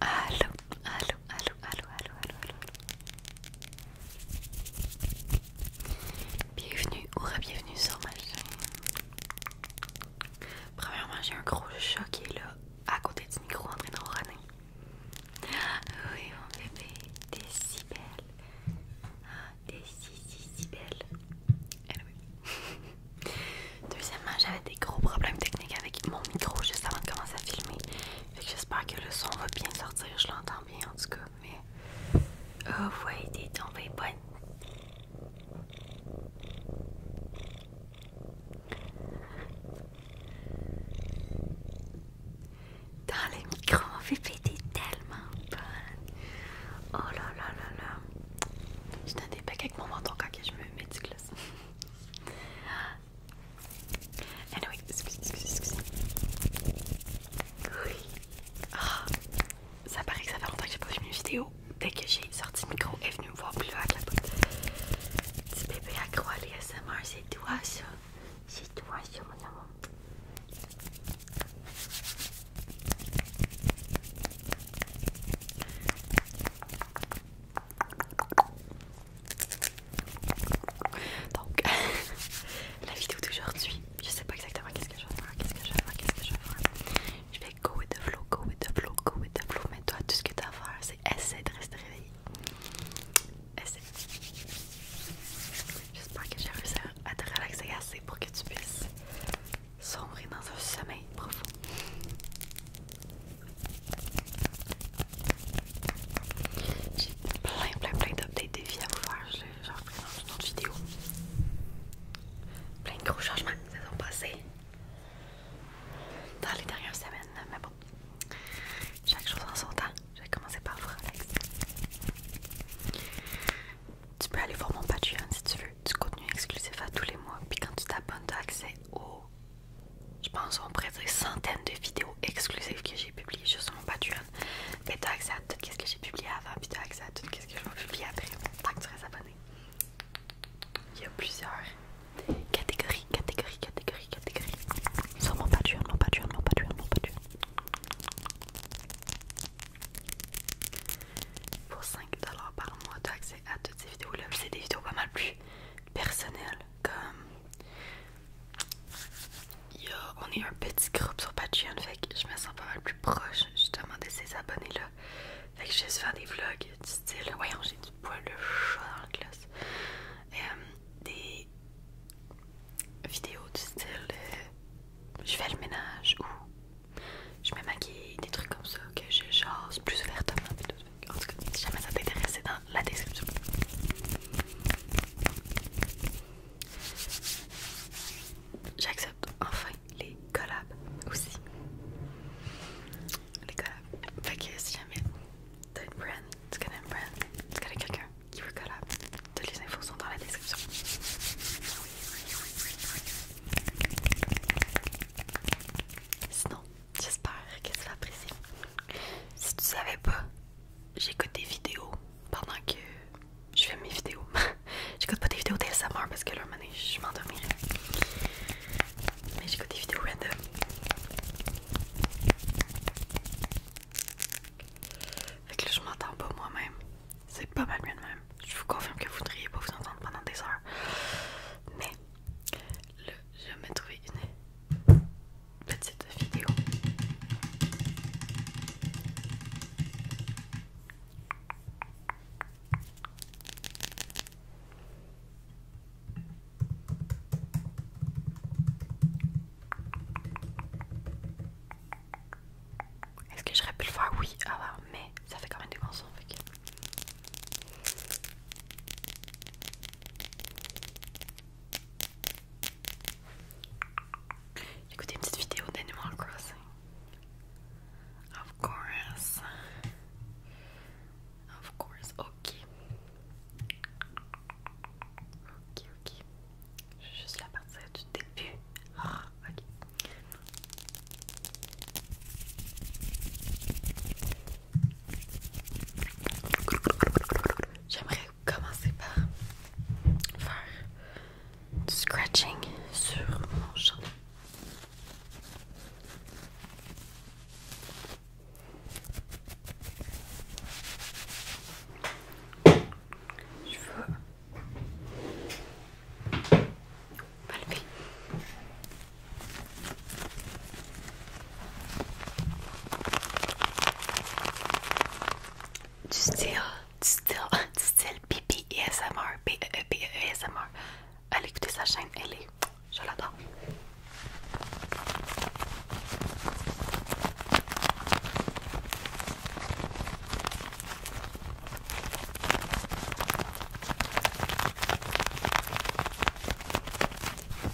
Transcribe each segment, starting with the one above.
Allô, allô, allô, allô, allô, allô, allô. Bienvenue ou bienvenue sur ma chaîne. Premièrement, j'ai un gros choc qui est là, à côté du micro, en train de ronner Oui, mon bébé, t'es si belle. Ah, t'es si, si, si belle. Deuxièmement, j'avais des gros problèmes techniques avec mon micro juste avant de commencer à filmer. Fait j'espère que le son va bien sortir, je l'entends bien en tout cas, mais. Oh ouais, tombé tombée bonne! Dans le micro, mon bébé, t'es tellement bonne! Oh là là là là! Je un des avec mon menton quand je me mets du gloss. Ah oui, excusez, excusez, excusez. Oui. ça paraît que ça fait longtemps que je n'ai pas vu une vidéo. Dès que j'ai sorti le micro, est venue me voir plus loin avec la boîte. Petit bébé accro à l'ASMR, c'est toi ça. C'est toi ça, mon amour. Donc, la vidéo d'aujourd'hui, je sais pas exactement qu'est-ce que je vais faire, qu'est-ce que je vais faire, qu'est-ce que je vais faire. Je vais go with the flow, go with the flow, go with the flow. Mais toi, tout ce que tu à faire, c'est essayer de rester réveillé. Essaye. J'espère que j'ai réussi à te relaxer assez pour que tu puisses sombrer dans un sommeil profond. J'ai plein plein plein d'updates des vies à vous faire, j'en ferai dans une autre vidéo. Plein de gros changements qui se sont passés dans les dernières semaines, mais bon, chaque chose en son temps. Je vais commencer par relaxer Tu peux aller voir mon Patreon si tu veux, du contenu exclusif à tous les mois, puis quand tu t'abonnes, tu as accès au je pense on pourrait dire centaines de vidéos exclusives que j'ai publiées sur mon Patreon. Mais tu as accès à tout ce que j'ai publié avant, puis tu as accès à tout ce que je vais publier après, tant que tu restes abonné. Il y a plusieurs catégories, catégories, catégories, catégories. Sur mon Patreon, mon Patreon, mon Patreon, mon Patreon. Pour 5$ par mois, tu as accès à toutes ces vidéos-là. C'est des vidéos pas mal plus personnel. Comme on est un petit groupe sur Patreon, fait que je me sens pas mal plus proche justement de ces abonnés-là. Fait que je vais faire des vlogs du style. Voyons, j'ai du poil le chat dans la classe. Euh, des vidéos du style je fais le ménage ou je me maquille, des trucs comme ça que je jase plus ouvertement en tout cas si jamais ça t'intéresse c'est dans la description j'accepte enfin les collabs aussi les collabs fait que si jamais t'as une brand tu connais une brand tu connais quelqu'un qui veut collab toutes les infos sont dans la description sinon J'espère que tu apprécier Si tu savais pas, j'écoute des vidéos pendant que je fais mes vidéos. j'écoute pas des vidéos Samar parce que là, moment donné, je m'endormirai. Mais j'écoute des vidéos random. Fait que là, je m'entends pas moi-même. C'est pas mal mieux de même. Je vous confirme que vous ne voudriez pas vous entendre pendant des heures. Mais là, je vais trouvé une cette vidéo. Est-ce que j'aurais pu le voir Oui, ah, mais ça fait quand même des bons Écoutez une petite vidéo d'Animal Crossing. Of course. Of course. Ok. Ok, ok. Je juste la du début. Ah, ok. J'aimerais commencer par faire scratching sur mon chat. Je veux me du style, du style, du style pipi ASMR, e p e e -E ASMR. E Allez écouter sa chaîne, elle est, je l'adore.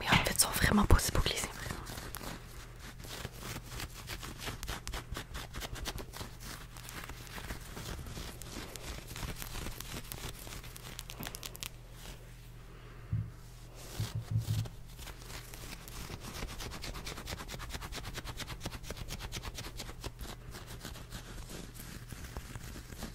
Mais en fait, ils sont vraiment pas si beaux que les imprimantes.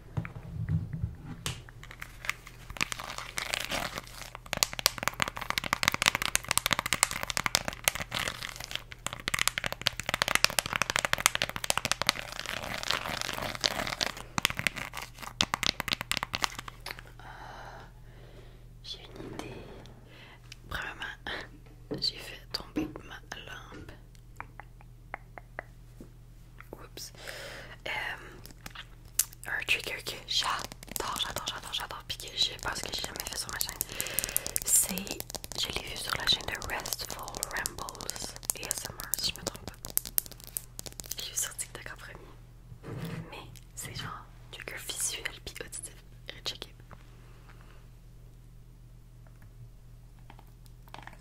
Euh, j'ai une idée. Premièrement, j'ai fait tomber ma lampe. Oups. Euh, un trigger que j'adore, j'adore, j'adore, j'adore, puis que je pense que j'ai jamais fait sur ma chaîne. C'est. Je l'ai vu sur la chaîne de Restful Rambles ASMR, si je me trompe pas. J'ai vu sur TikTok en premier. Mais c'est genre trigger visuel puis auditif. Recheck it.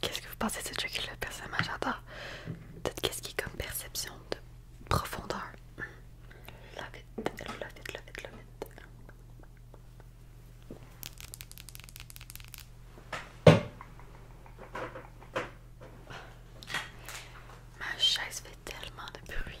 Qu'est-ce que vous pensez de ce truc là personnage j'adore. Peut-être qu'est-ce qui est comme perception de profondeur. Ma chaise fait tellement de bruit.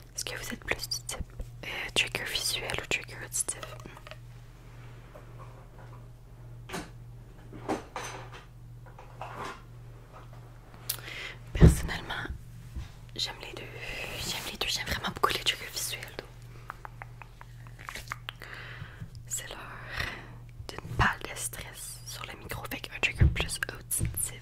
Est-ce que vous êtes plus du type euh, trigger visuel ou trigger auditif Personnellement, j'aime les deux. J'aime les deux. J'aime vraiment beaucoup les triggers visuels. C'est l'heure d'une pas de stress sur le micro avec un trigger plus auditif.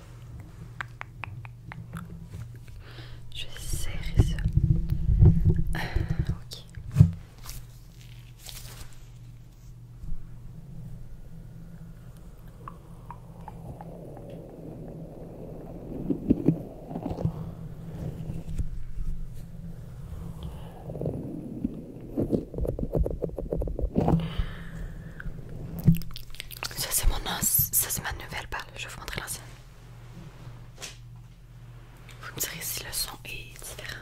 Je vais serrer ça. ok. Ça c'est mon os, ça c'est ma nouvelle balle, je vais vous montrer l'ancienne. Vous me direz si le son est différent.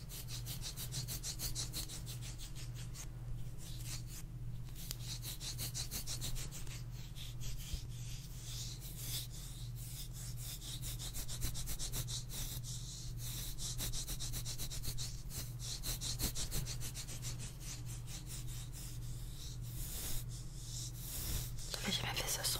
J'avais jamais fait ce son.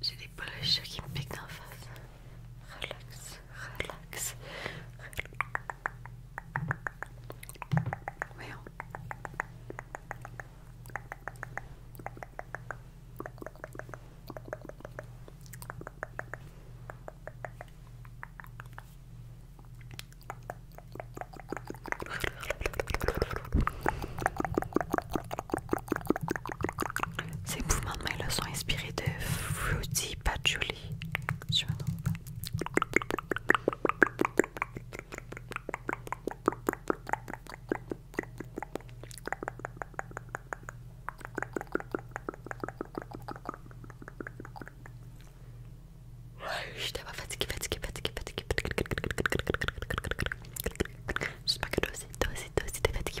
J'ai des police de qui me piquent la face. Relax, relax. Ces mouvements de main sont inspirés de Fruity Patchouli. Je Je suis fatiguée, J'espère que toi aussi, toi aussi t'es fatiguée.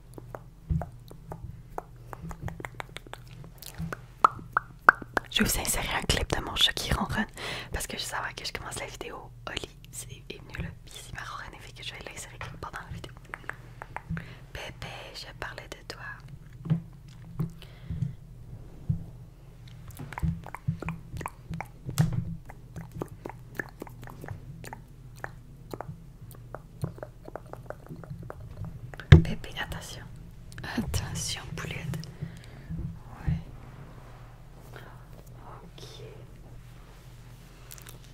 Je vais aussi insérer un clip de mon choc qui ronronne parce que je savoir que je commence la vidéo. Oli c'est venu le puis il m'a fait que je vais l'insérer pendant la vidéo. Bébé, je parlais de toi. Bébé, attention. Attention, poulet. Oui Ok.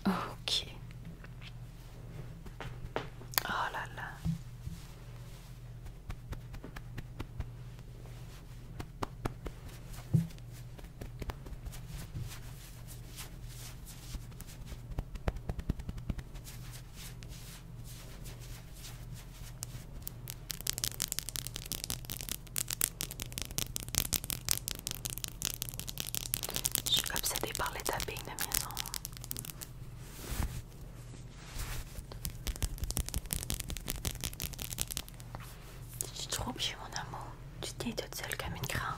Ok. Oh là là. Je suis obsédée par les tapis de maison. Tu te trompes, mon amour. Tu tiens toute seule comme une crainte.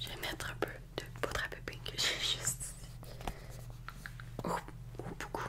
Je vais mettre un peu de poudre à pépine que j'ai juste ici. Oh, oh, beaucoup.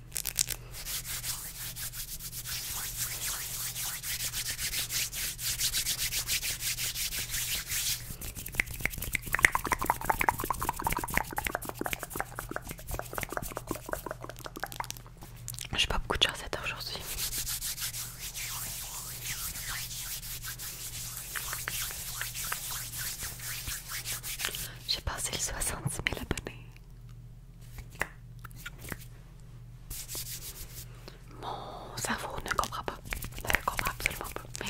J'ai pas beaucoup de chaussettes aujourd'hui. J'ai passé les 60 000 abonnés. Mon cerveau ne comprend pas. Ne comprend absolument pas. Mais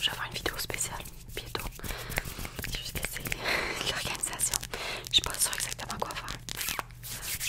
je une vidéo spéciale bientôt. l'organisation. Je suis pas exactement quoi faire. Je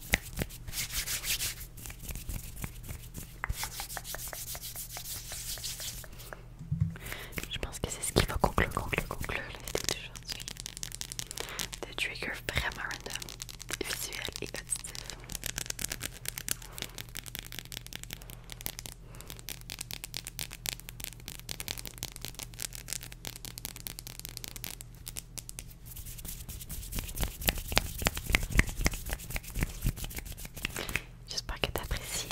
Je pense que c'est ce qui va conclure, conclure, conclure la vidéo d'aujourd'hui. Des triggers vraiment random, visuels et auditifs. J'espère que t'apprécies.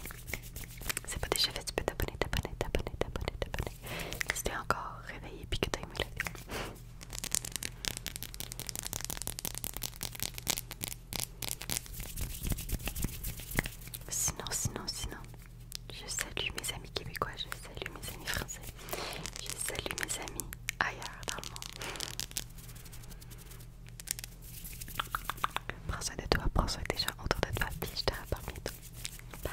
C'est pas déjà fait, tu peux t'abonner, t'abonner, t'abonner, t'abonner, t'abonner. Si t'es encore réveillé et que t'as aimé la vidéo. Sinon, sinon, sinon, je salue mes amis québécois, je salue mes amis français, je salue mes amis ailleurs dans le monde. Prends soin de toi, prends soin des gens autour de toi, puis je te rapporte Bye!